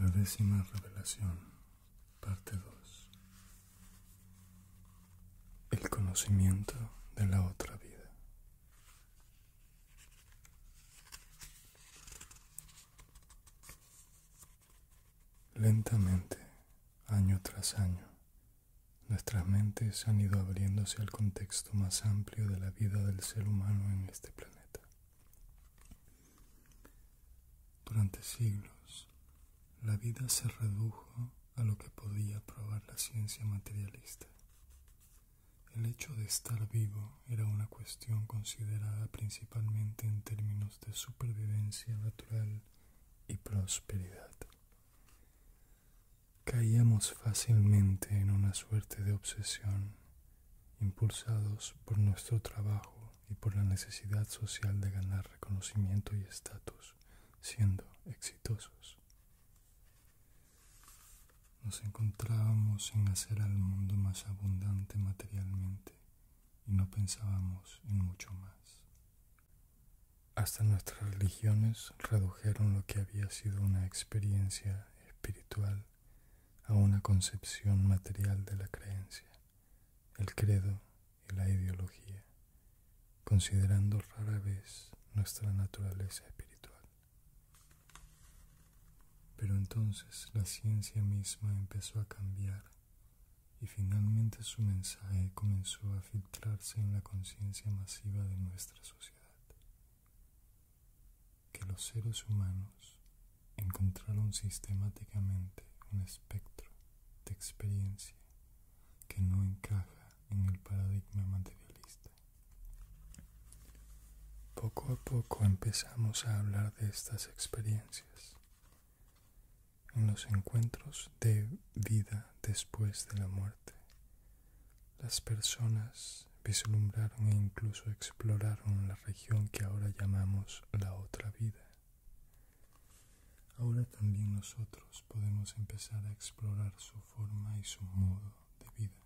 La décima revelación Parte 2. El conocimiento de la otra vida. Lentamente, año tras año, nuestras mentes han ido abriéndose al contexto más amplio de la vida del ser humano en este planeta. Durante siglos, la vida se redujo a lo que podía probar la ciencia materialista. El hecho de estar vivo era una cuestión considerada principalmente en términos de supervivencia natural y prosperidad. Caíamos fácilmente en una suerte de obsesión, impulsados por nuestro trabajo y por la necesidad social de ganar reconocimiento y estatus siendo exitosos. Nos encontrábamos en hacer al mundo más abundante materialmente y no pensábamos en mucho más. Hasta nuestras religiones redujeron lo que había sido una experiencia espiritual a una concepción material de la creencia, el credo y la ideología, considerando rara vez nuestra naturaleza espiritual. Pero entonces la ciencia misma empezó a cambiar y finalmente su mensaje comenzó a filtrarse en la conciencia masiva de nuestra sociedad. Que los seres humanos encontraron sistemáticamente un espectro de experiencia que no encaja en el paradigma materialista. Poco a poco empezamos a hablar de estas experiencias en los encuentros de vida después de la muerte. Las personas vislumbraron e incluso exploraron la región que ahora llamamos la otra vida. Ahora también nosotros podemos empezar a explorar su forma y su modo de vida.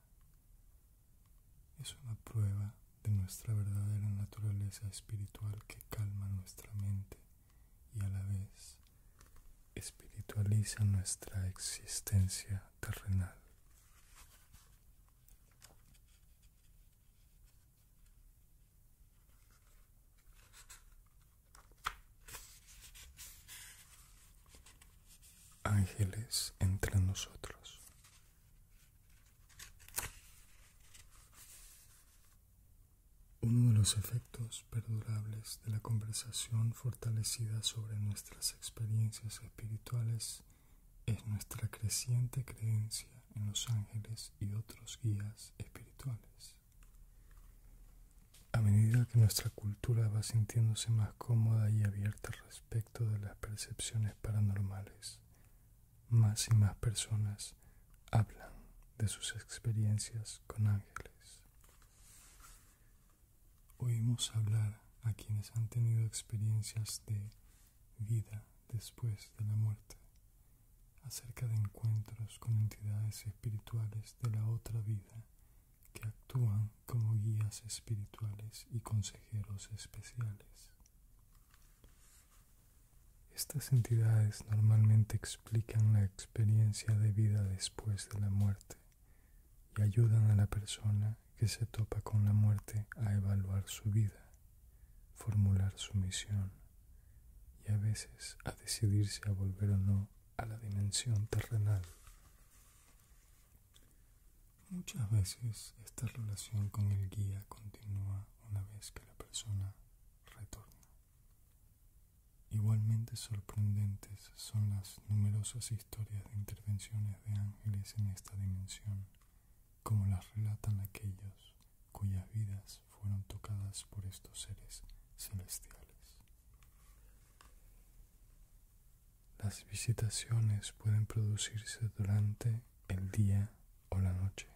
Es una prueba de nuestra verdadera naturaleza espiritual que calma nuestra mente y a la vez espiritualiza nuestra existencia terrenal. Ángeles entre nosotros. Uno de los efectos perdurables de la conversación fortalecida sobre nuestras experiencias espirituales es nuestra creciente creencia en los ángeles y otros guías espirituales. A medida que nuestra cultura va sintiéndose más cómoda y abierta respecto de las percepciones paranormales, más y más personas hablan de sus experiencias con ángeles. Oímos hablar a quienes han tenido experiencias de vida después de la muerte acerca de encuentros con entidades espirituales de la otra vida que actúan como guías espirituales y consejeros especiales. Estas entidades normalmente explican la experiencia de vida después de la muerte y ayudan a la persona que se topa con la muerte a evaluar su vida, formular su misión y a veces a decidirse a volver o no a la dimensión terrenal. Muchas veces esta relación con el guía continúa una vez que la persona retorna. Igualmente sorprendentes son las numerosas historias de intervenciones de ángeles en esta dimensión, como las relatan aquellos cuyas vidas fueron tocadas por estos seres celestiales. Las visitaciones pueden producirse durante el día o la noche,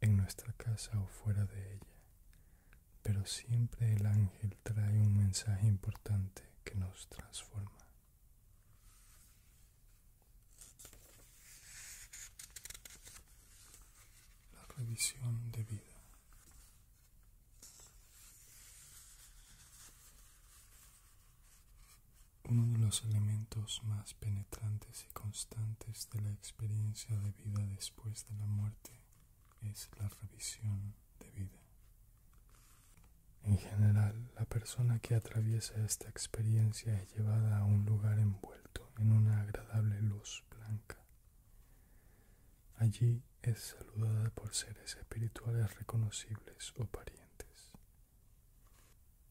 en nuestra casa o fuera de ella, pero siempre el ángel trae un mensaje importante que nos transforma la revisión de vida. Uno de los elementos más penetrantes y constantes de la experiencia de vida después de la muerte es la revisión de vida. En general, la persona que atraviesa esta experiencia es llevada a un lugar envuelto en una agradable luz blanca Allí es saludada por seres espirituales reconocibles o parientes.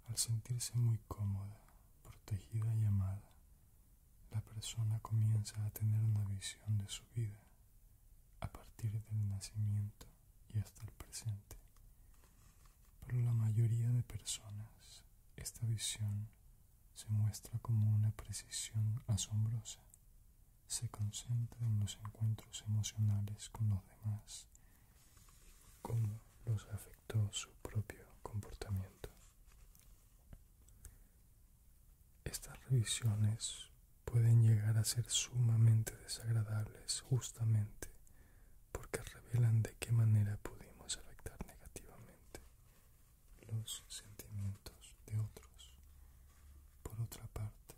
Al sentirse muy cómoda, protegida y amada, la persona comienza a tener una visión de su vida a partir del nacimiento y hasta el presente. Para la mayoría de personas, esta visión se muestra como una precisión asombrosa. Se concentra en los encuentros emocionales con los demás, cómo los afectó su propio comportamiento. Estas revisiones pueden llegar a ser sumamente desagradables justamente porque revelan de qué manera pudimos afectar negativamente los sentimientos de otros. Por otra parte,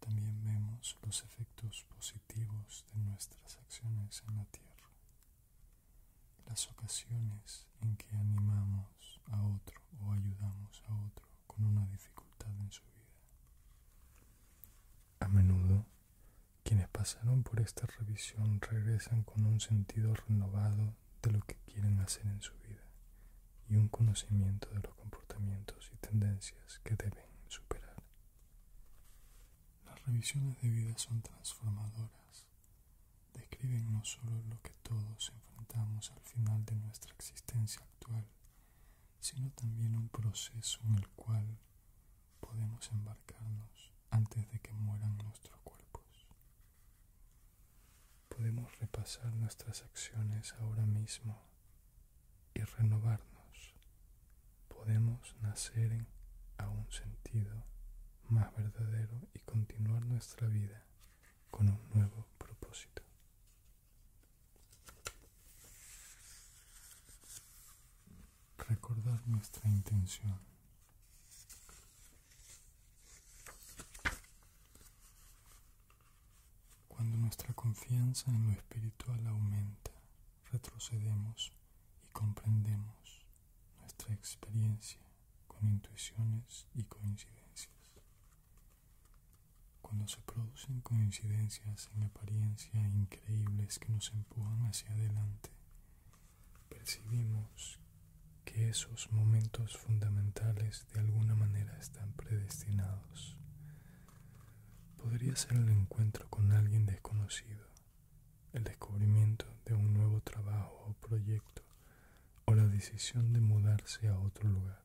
también vemos los efectos positivos de nuestras acciones en la tierra. Las ocasiones en que animamos a otro o ayudamos a otro con una dificultad en su vida. A menudo, quienes pasaron por esta revisión regresan con un sentido renovado de lo que quieren hacer en su vida y un conocimiento de los comportamientos y tendencias que deben superar. Las revisiones de vida son transformadoras. Describen no solo lo que todos enfrentamos al final de nuestra existencia actual, sino también un proceso en el cual podemos embarcarnos antes de que mueran nuestros cuerpos podemos repasar nuestras acciones ahora mismo y renovarnos. Podemos nacer en, a un sentido más verdadero y continuar nuestra vida con un nuevo propósito. Recordar nuestra intención cuando nuestra confianza en lo espiritual aumenta, retrocedemos y comprendemos nuestra experiencia con intuiciones y coincidencias. Cuando se producen coincidencias en apariencia increíbles que nos empujan hacia adelante, percibimos que esos momentos fundamentales de alguna manera están predestinados. Podría ser el encuentro con alguien desconocido, el descubrimiento de un nuevo trabajo o proyecto, o la decisión de mudarse a otro lugar.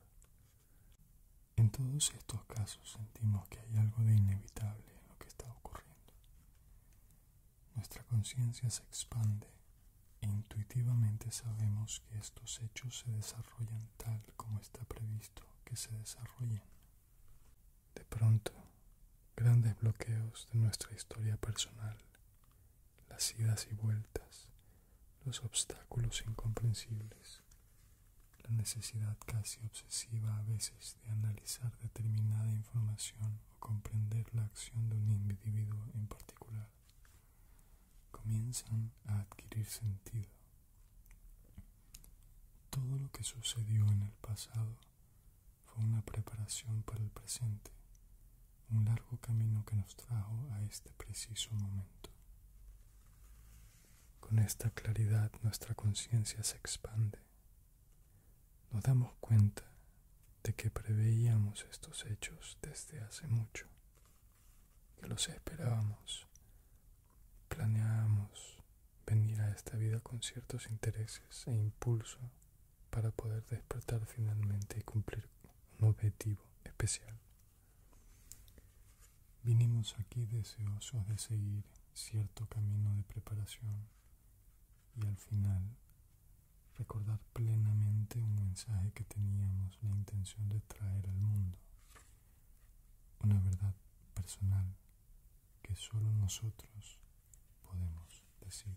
En todos estos casos sentimos que hay algo de inevitable en lo que está ocurriendo nuestra conciencia se expande e intuitivamente sabemos que estos hechos se desarrollan tal como está previsto que se desarrollen. De pronto, grandes bloqueos de nuestra historia personal, las idas y vueltas, los obstáculos incomprensibles, la necesidad casi obsesiva a veces de analizar determinada información comprender la acción de un individuo en particular, comienzan a adquirir sentido. Todo lo que sucedió en el pasado fue una preparación para el presente, un largo camino que nos trajo a este preciso momento. Con esta claridad nuestra conciencia se expande nos damos cuenta de que preveíamos estos hechos desde hace mucho, que los esperábamos, planeábamos venir a esta vida con ciertos intereses e impulso para poder despertar finalmente y cumplir un objetivo especial. Vinimos aquí deseosos de seguir cierto camino de preparación y al final recordar plenamente un mensaje que teníamos la intención de traer al mundo, una verdad personal que solo nosotros podemos decir.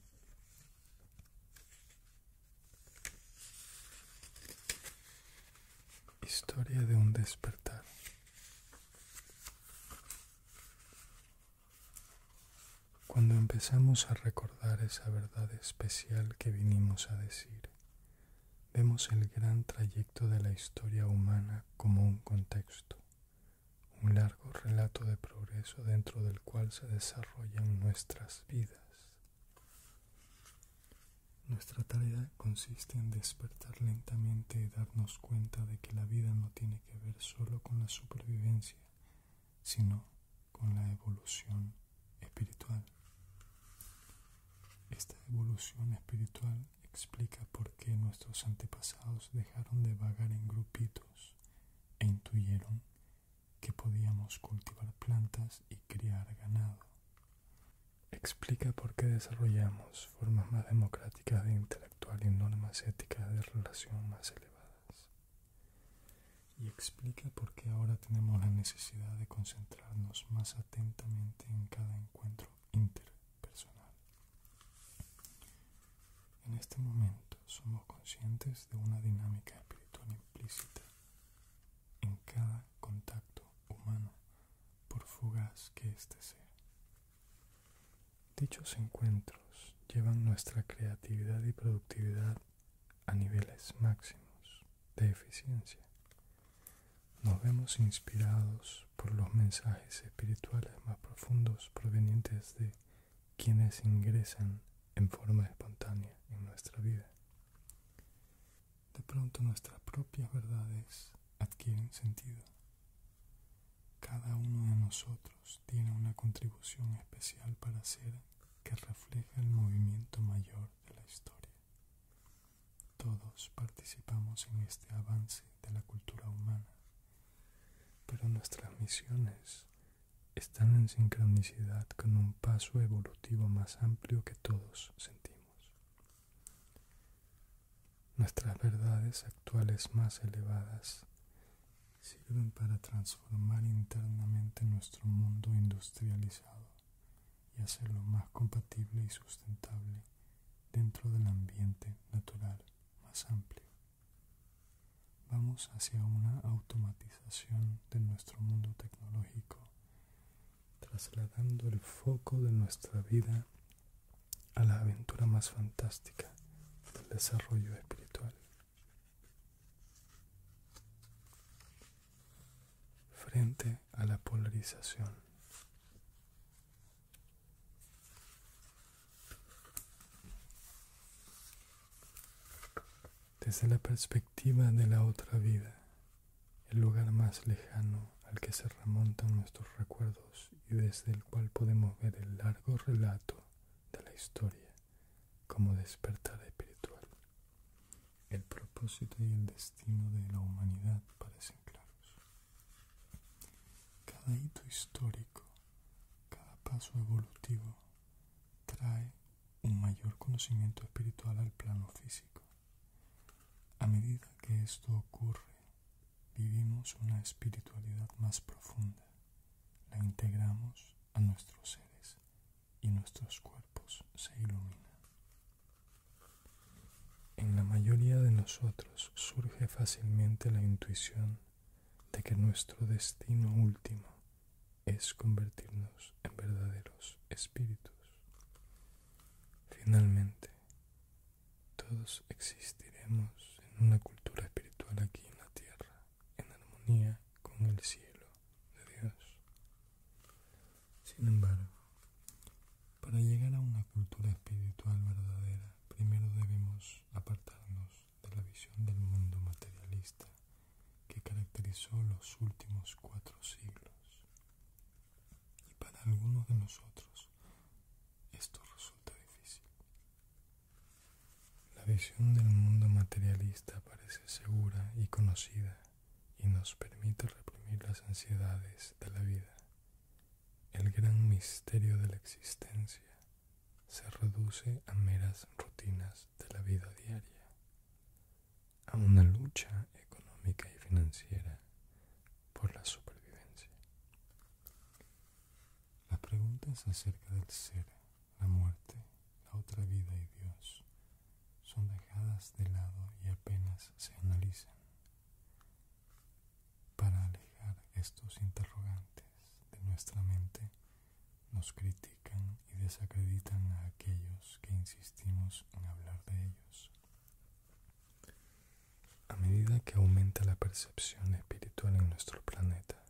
Historia de un despertar. Cuando empezamos a recordar esa verdad especial que vinimos a decir, vemos el gran trayecto de la historia humana como un contexto, un largo relato de progreso dentro del cual se desarrollan nuestras vidas. Nuestra tarea consiste en despertar lentamente y darnos cuenta de que la vida no tiene que ver solo con la supervivencia, sino con la evolución espiritual. Esta evolución espiritual explica por qué nuestros antepasados dejaron de vagar en grupitos e intuyeron que podíamos cultivar plantas y criar ganado. Explica por qué desarrollamos formas más democráticas de intelectual y normas éticas de relación más elevadas y explica por qué ahora tenemos la necesidad de concentrarnos más atentamente en cada encuentro interpersonal. En este momento somos conscientes de una dinámica espiritual implícita en cada contacto humano, por fugaz que este sea. Dichos encuentros llevan nuestra creatividad y productividad a niveles máximos de eficiencia. Nos vemos inspirados por los mensajes espirituales más profundos provenientes de quienes ingresan en forma espontánea en nuestra vida. De pronto nuestras propias verdades adquieren sentido. Cada uno de nosotros tiene una contribución especial para ser que refleja el movimiento mayor de la historia. Todos participamos en este avance de la cultura humana, pero nuestras misiones están en sincronicidad con un paso evolutivo más amplio que todos sentimos. Nuestras verdades actuales más elevadas sirven para transformar internamente nuestro mundo industrializado y hacerlo más compatible y sustentable dentro del ambiente natural más amplio. Vamos hacia una automatización de nuestro mundo tecnológico, trasladando el foco de nuestra vida a la aventura más fantástica del desarrollo espiritual frente a la polarización. Desde la perspectiva de la otra vida, el lugar más lejano al que se remontan nuestros recuerdos y desde el cual podemos ver el largo relato de la historia como despertar espiritual. El propósito y el destino de la humanidad parecen claros. Cada hito histórico, cada paso evolutivo, trae un mayor conocimiento espiritual al plano físico. A medida que esto ocurre, vivimos una espiritualidad más profunda, la integramos a nuestros seres y nuestros cuerpos se iluminan. En la mayoría de nosotros surge fácilmente la intuición de que nuestro destino último es convertirnos en verdaderos espíritus. Finalmente, todos existiremos en una cultura espiritual aquí en la Tierra, en armonía con el cielo de Dios. Sin embargo, para llegar a una cultura espiritual verdadera, primero debemos apartarnos de la visión del mundo materialista que caracterizó los últimos cuatro siglos. Y para algunos de nosotros esto resulta difícil. La visión del mundo materialista parece segura y conocida y nos permite reprimir las ansiedades de la vida. El gran misterio de la existencia se reduce a meras rutinas de la vida diaria, a una lucha económica y financiera por la supervivencia. La pregunta es acerca del ser la muerte, la otra vida y Dios son dejadas de lado y apenas se analizan. Para alejar estos interrogantes de nuestra mente, nos critican y desacreditan a aquellos que insistimos en hablar de ellos. A medida que aumenta la percepción espiritual en nuestro planeta,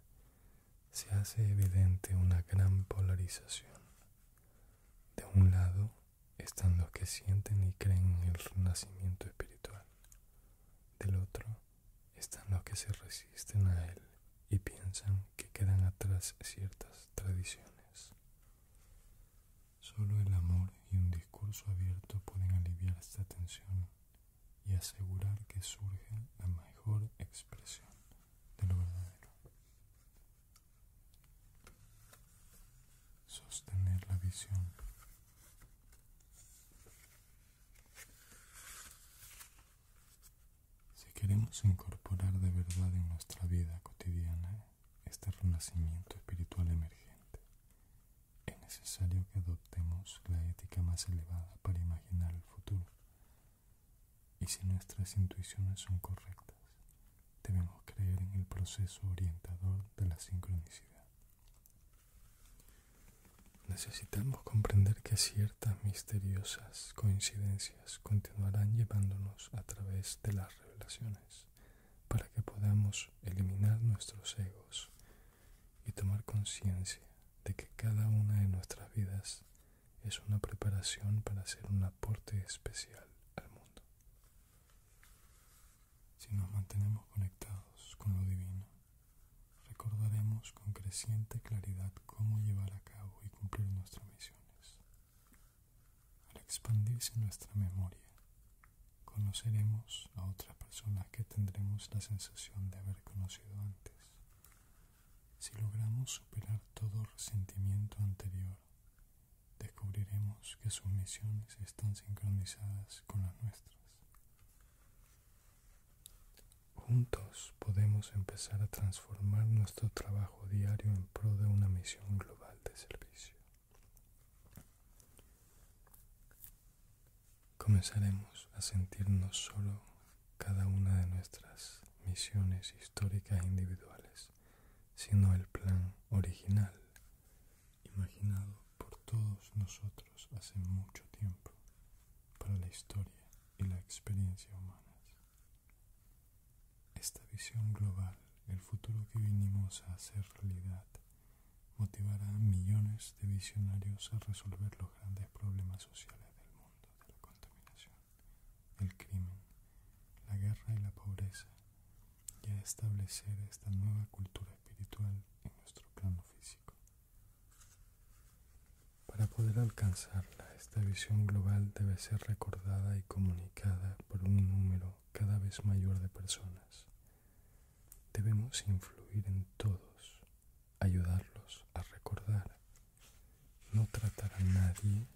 se hace evidente una gran polarización. De un lado están los que sienten y creen en el renacimiento espiritual. Del otro están los que se resisten a él y piensan que quedan atrás ciertas tradiciones. Solo el amor y un discurso abierto pueden aliviar esta tensión y asegurar que surge la mejor expresión de lo verdadero. Sostener la visión. Si queremos incorporar de verdad en nuestra vida cotidiana este renacimiento espiritual emergente, es necesario que adoptemos la ética más elevada para imaginar el futuro y si nuestras intuiciones son correctas, debemos creer en el proceso orientador de la sincronicidad. Necesitamos comprender que ciertas misteriosas coincidencias continuarán llevándonos a través de las revelaciones para que podamos eliminar nuestros egos y tomar conciencia de que cada una de nuestras vidas es una preparación para hacer un aporte especial al mundo. Si nos mantenemos conectados con lo divino, recordaremos con creciente claridad cómo llevar a cabo y cumplir nuestras misiones. Al expandirse nuestra memoria, conoceremos a otras personas que tendremos la sensación de haber conocido antes si logramos superar todo resentimiento anterior, descubriremos que sus misiones están sincronizadas con las nuestras. Juntos podemos empezar a transformar nuestro trabajo diario en pro de una misión global de servicio. Comenzaremos a sentirnos solo cada una de nuestras misiones históricas e individuales, sino el plan original, imaginado por todos nosotros hace mucho tiempo, para la historia y la experiencia humanas. Esta visión global, el futuro que vinimos a hacer realidad, motivará a millones de visionarios a resolver los grandes problemas sociales del mundo de la contaminación, el crimen, la guerra y la pobreza, y a establecer esta nueva cultura espiritual en nuestro plano físico. Para poder alcanzarla, esta visión global debe ser recordada y comunicada por un número cada vez mayor de personas. Debemos influir en todos, ayudarlos a recordar no tratar a nadie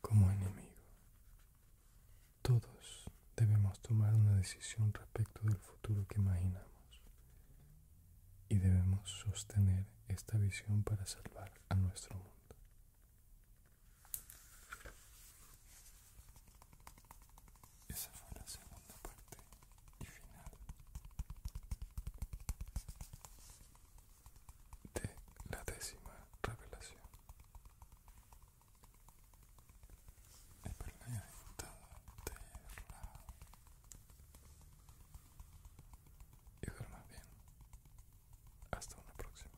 como enemigo. Todos debemos tomar una decisión respecto del futuro que imaginamos y debemos sostener esta visión para salvar a nuestro mundo. Esa fue la segunda parte y final de la décima revelación. Espero que haya disfrutado de la y duerma bien. Hasta una próxima.